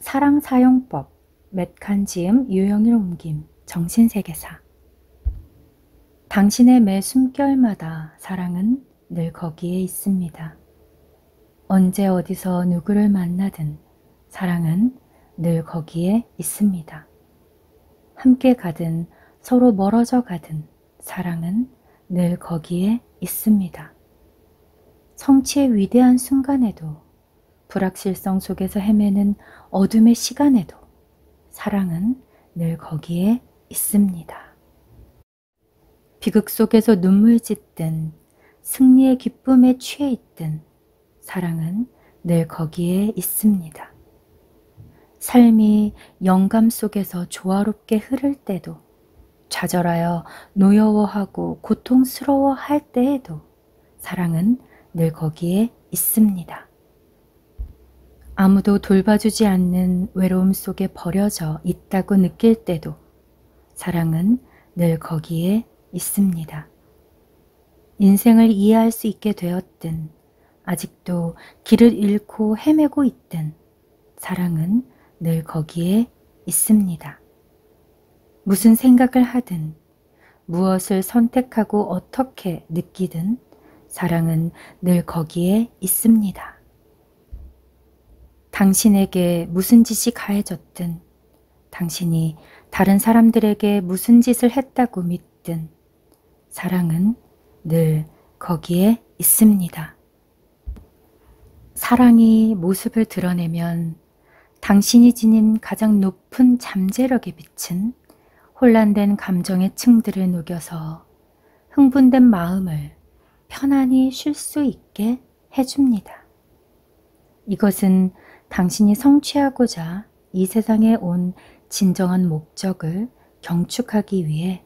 사랑 사용법, 맷칸지음 유형일 옮김, 정신세계사 당신의 매 숨결마다 사랑은 늘 거기에 있습니다. 언제 어디서 누구를 만나든 사랑은 늘 거기에 있습니다. 함께 가든 서로 멀어져 가든 사랑은 늘 거기에 있습니다. 성취의 위대한 순간에도 불확실성 속에서 헤매는 어둠의 시간에도 사랑은 늘 거기에 있습니다. 비극 속에서 눈물 짓든 승리의 기쁨에 취해 있든 사랑은 늘 거기에 있습니다. 삶이 영감 속에서 조화롭게 흐를 때도 좌절하여 노여워하고 고통스러워할 때에도 사랑은 늘 거기에 있습니다. 아무도 돌봐주지 않는 외로움 속에 버려져 있다고 느낄 때도 사랑은 늘 거기에 있습니다. 인생을 이해할 수 있게 되었든 아직도 길을 잃고 헤매고 있든 사랑은 늘 거기에 있습니다. 무슨 생각을 하든, 무엇을 선택하고 어떻게 느끼든 사랑은 늘 거기에 있습니다. 당신에게 무슨 짓이 가해졌든, 당신이 다른 사람들에게 무슨 짓을 했다고 믿든, 사랑은 늘 거기에 있습니다. 사랑이 모습을 드러내면 당신이 지닌 가장 높은 잠재력에 비친 혼란된 감정의 층들을 녹여서 흥분된 마음을 편안히 쉴 수 있게 해줍니다. 이것은 당신이 성취하고자 이 세상에 온 진정한 목적을 경축하기 위해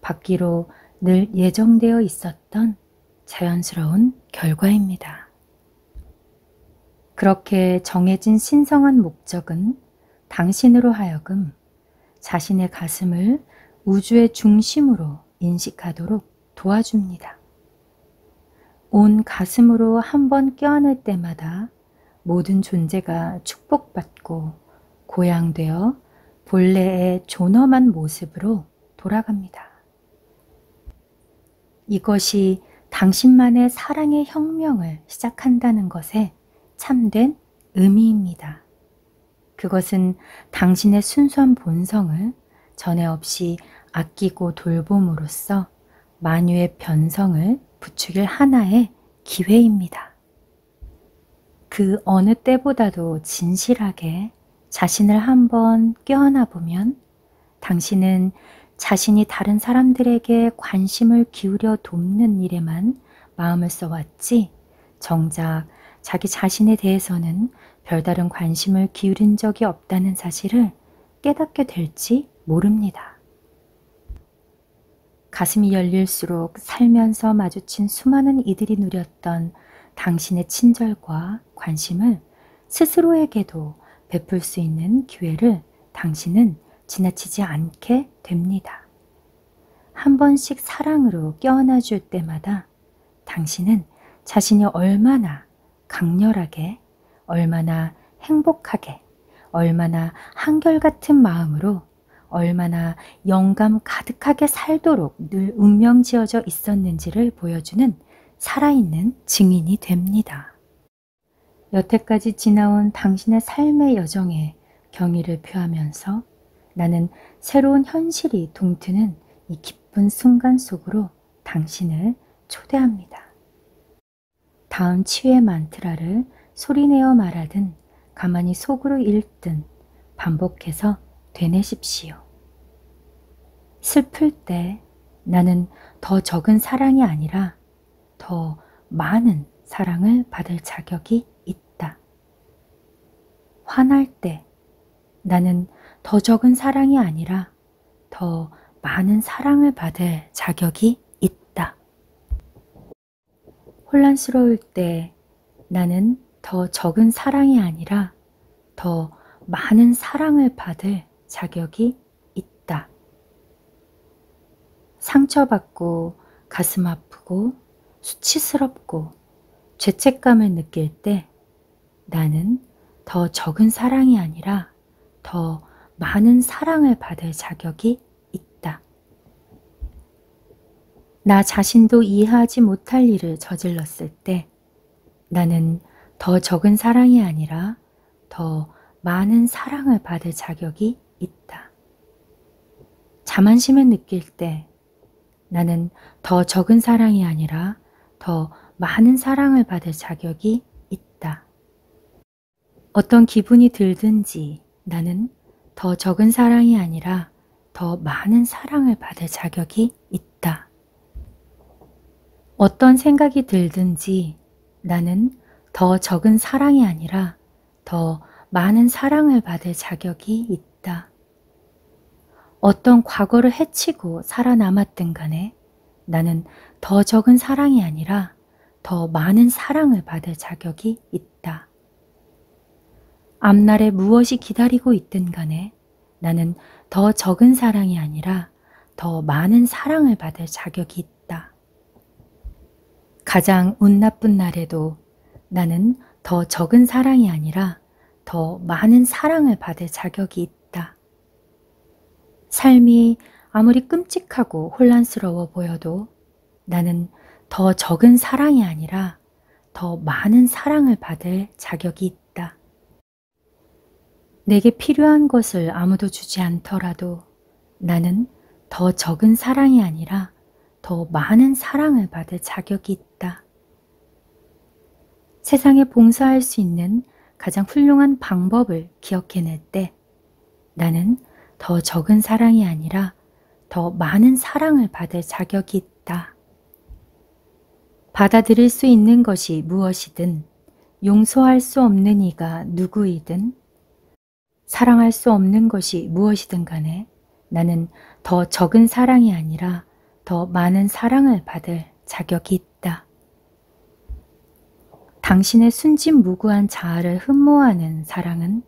받기로 늘 예정되어 있었던 자연스러운 결과입니다. 그렇게 정해진 신성한 목적은 당신으로 하여금 자신의 가슴을 우주의 중심으로 인식하도록 도와줍니다. 온 가슴으로 한번 껴안을 때마다 모든 존재가 축복받고 고양되어 본래의 존엄한 모습으로 돌아갑니다. 이것이 당신만의 사랑의 혁명을 시작한다는 것에 참된 의미입니다. 그것은 당신의 순수한 본성을 전에 없이 아끼고 돌봄으로써 만유의 변성을 부추길 하나의 기회입니다. 그 어느 때보다도 진실하게 자신을 한번 껴안아 보면 당신은 자신이 다른 사람들에게 관심을 기울여 돕는 일에만 마음을 써왔지, 정작 자기 자신에 대해서는 별다른 관심을 기울인 적이 없다는 사실을 깨닫게 될지 모릅니다. 가슴이 열릴수록 살면서 마주친 수많은 이들이 누렸던 당신의 친절과 관심을 스스로에게도 베풀 수 있는 기회를 당신은 지나치지 않게 됩니다. 한 번씩 사랑으로 껴안아 줄 때마다 당신은 자신이 얼마나 강렬하게, 얼마나 행복하게, 얼마나 한결같은 마음으로 얼마나 영감 가득하게 살도록 늘 운명 지어져 있었는지를 보여주는 살아있는 증인이 됩니다. 여태까지 지나온 당신의 삶의 여정에 경의를 표하면서 나는 새로운 현실이 동트는 이 기쁜 순간 속으로 당신을 초대합니다. 다음 치유의 만트라를 소리내어 말하든 가만히 속으로 읽든 반복해서 되뇌십시오. 슬플 때 나는 더 적은 사랑이 아니라 더 많은 사랑을 받을 자격이 있다. 화날 때 나는 더 적은 사랑이 아니라 더 많은 사랑을 받을 자격이 있다. 혼란스러울 때 나는 더 적은 사랑이 아니라 더 많은 사랑을 받을 자격이 있다. 상처받고 가슴 아프고 수치스럽고 죄책감을 느낄 때 나는 더 적은 사랑이 아니라 더 많은 사랑을 받을 자격이 있다. 나 자신도 이해하지 못할 일을 저질렀을 때 나는 더 적은 사랑이 아니라 더 많은 사랑을 받을 자격이 있다. 자만심을 느낄 때 나는 더 적은 사랑이 아니라 더 많은 사랑을 받을 자격이 있다. 어떤 기분이 들든지 나는 더 적은 사랑이 아니라 더 많은 사랑을 받을 자격이 있다. 어떤 생각이 들든지 나는 더 적은 사랑이 아니라 더 많은 사랑을 받을 자격이 있다. 어떤 과거를 해치고 살아남았든 간에 나는 더 적은 사랑이 아니라 더 많은 사랑을 받을 자격이 있다. 앞날에 무엇이 기다리고 있든 간에 나는 더 적은 사랑이 아니라 더 많은 사랑을 받을 자격이 있다. 가장 운 나쁜 날에도 나는 더 적은 사랑이 아니라 더 많은 사랑을 받을 자격이 있다. 삶이 아무리 끔찍하고 혼란스러워 보여도 나는 더 적은 사랑이 아니라 더 많은 사랑을 받을 자격이 있다. 내게 필요한 것을 아무도 주지 않더라도 나는 더 적은 사랑이 아니라 더 많은 사랑을 받을 자격이 있다. 세상에 봉사할 수 있는 가장 훌륭한 방법을 기억해낼 때때 나는 더 적은 사랑이 아니라 더 많은 사랑을 받을 자격이 있다. 받아들일 수 있는 것이 무엇이든 용서할 수 없는 이가 누구이든 사랑할 수 없는 것이 무엇이든 간에 나는 더 적은 사랑이 아니라 더 많은 사랑을 받을 자격이 있다. 당신의 순진무구한 자아를 흠모하는 사랑은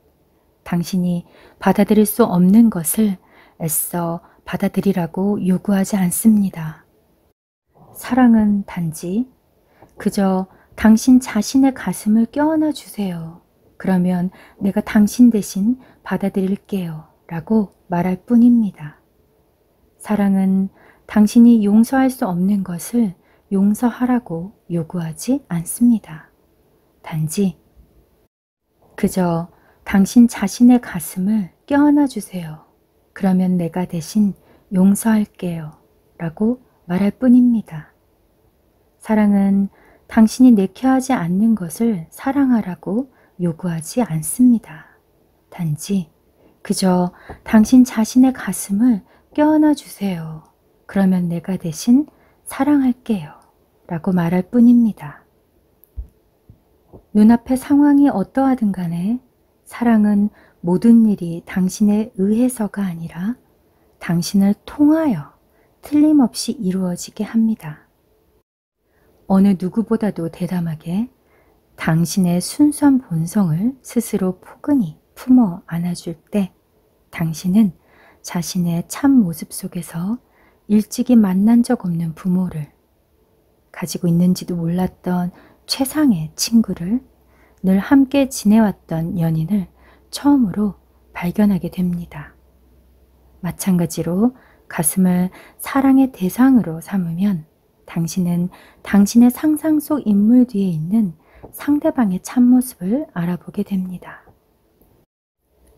당신이 받아들일 수 없는 것을 애써 받아들이라고 요구하지 않습니다. 사랑은 단지 그저 당신 자신의 가슴을 껴안아 주세요. 그러면 내가 당신 대신 받아들일게요. 라고 말할 뿐입니다. 사랑은 당신이 용서할 수 없는 것을 용서하라고 요구하지 않습니다. 단지 그저 당신 자신의 가슴을 껴안아 주세요. 그러면 내가 대신 용서할게요. 라고 말할 뿐입니다. 사랑은 당신이 내켜하지 않는 것을 사랑하라고 요구하지 않습니다. 단지 그저 당신 자신의 가슴을 껴안아 주세요. 그러면 내가 대신 사랑할게요. 라고 말할 뿐입니다. 눈앞의 상황이 어떠하든 간에 사랑은 모든 일이 당신에 의해서가 아니라 당신을 통하여 틀림없이 이루어지게 합니다. 어느 누구보다도 대담하게 당신의 순수한 본성을 스스로 포근히 품어 안아줄 때 당신은 자신의 참 모습 속에서 일찍이 만난 적 없는 부모를 가지고 있는지도 몰랐던 최상의 친구를 늘 함께 지내왔던 연인을 처음으로 발견하게 됩니다. 마찬가지로 가슴을 사랑의 대상으로 삼으면 있지만 당신은 당신의 상상 속 인물 뒤에 있는 상대방의 참모습을 알아보게 됩니다.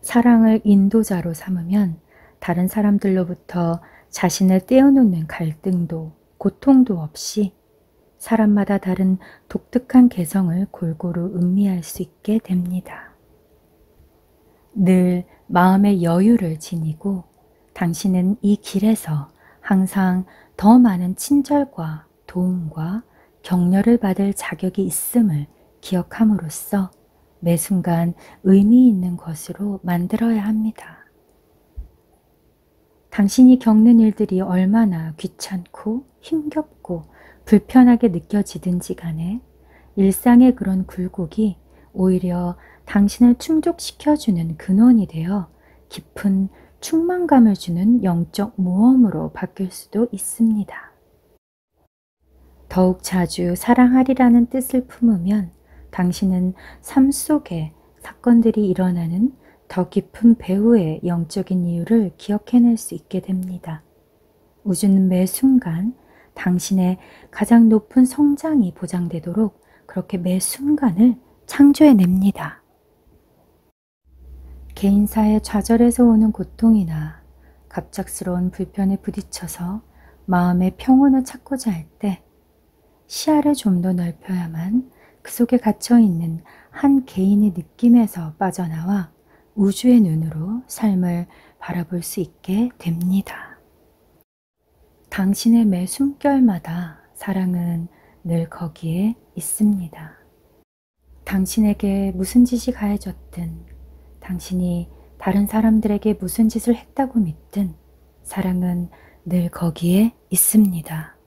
사랑을 인도자로 삼으면 다른 사람들로부터 자신을 떼어놓는 갈등도 고통도 없이 사람마다 다른 독특한 개성을 골고루 음미할 수 있게 됩니다. 늘 마음의 여유를 지니고 당신은 이 길에서 항상 더 많은 친절과 도움과 격려를 받을 자격이 있음을 기억함으로써 매 순간 의미 있는 것으로 만들어야 합니다. 당신이 겪는 일들이 얼마나 귀찮고 힘겹고 불편하게 느껴지든지 간에 일상의 그런 굴곡이 오히려 당신을 충족시켜주는 근원이 되어 깊은 충만감을 주는 영적 모험으로 바뀔 수도 있습니다. 더욱 자주 사랑하리라는 뜻을 품으면 당신은 삶 속에 사건들이 일어나는 더 깊은 배후의 영적인 이유를 기억해낼 수 있게 됩니다. 우주는 매 순간 당신의 가장 높은 성장이 보장되도록 있도록 그렇게 매 순간을 창조해냅니다. 개인사의 좌절에서 오는 고통이나 갑작스러운 불편에 부딪혀서 마음의 평온을 찾고자 할 때 시야를 좀 더 넓혀야만 그 속에 갇혀있는 한 개인의 느낌에서 빠져나와 우주의 눈으로 삶을 바라볼 수 있게 됩니다. 당신의 매 숨결마다 사랑은 늘 거기에 있습니다. 당신에게 무슨 짓이 가해졌든 당신이 다른 사람들에게 무슨 짓을 했다고 믿든 사랑은 늘 거기에 있습니다.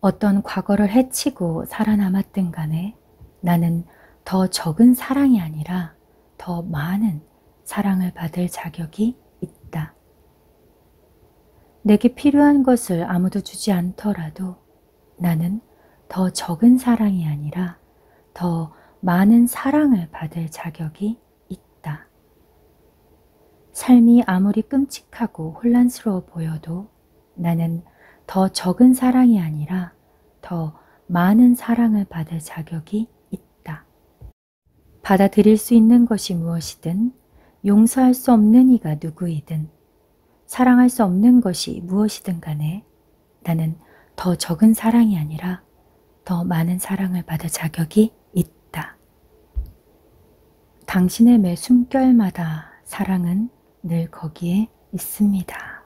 어떤 과거를 해치고 살아남았든 간에 나는 더 적은 사랑이 아니라 더 많은 사랑을 받을 자격이 있다. 내게 필요한 것을 아무도 주지 않더라도 나는 더 적은 사랑이 아니라 더 많은 사랑을 받을 자격이 있다. 삶이 아무리 끔찍하고 혼란스러워 보여도 나는 더 적은 사랑이 아니라 더 많은 사랑을 받을 자격이 있다. 받아들일 수 있는 것이 무엇이든 용서할 수 없는 이가 누구이든 사랑할 수 없는 것이 무엇이든 간에 나는 더 적은 사랑이 아니라 더 많은 사랑을 받을 자격이 있다. 당신의 매 숨결마다 사랑은 늘 거기에 있습니다.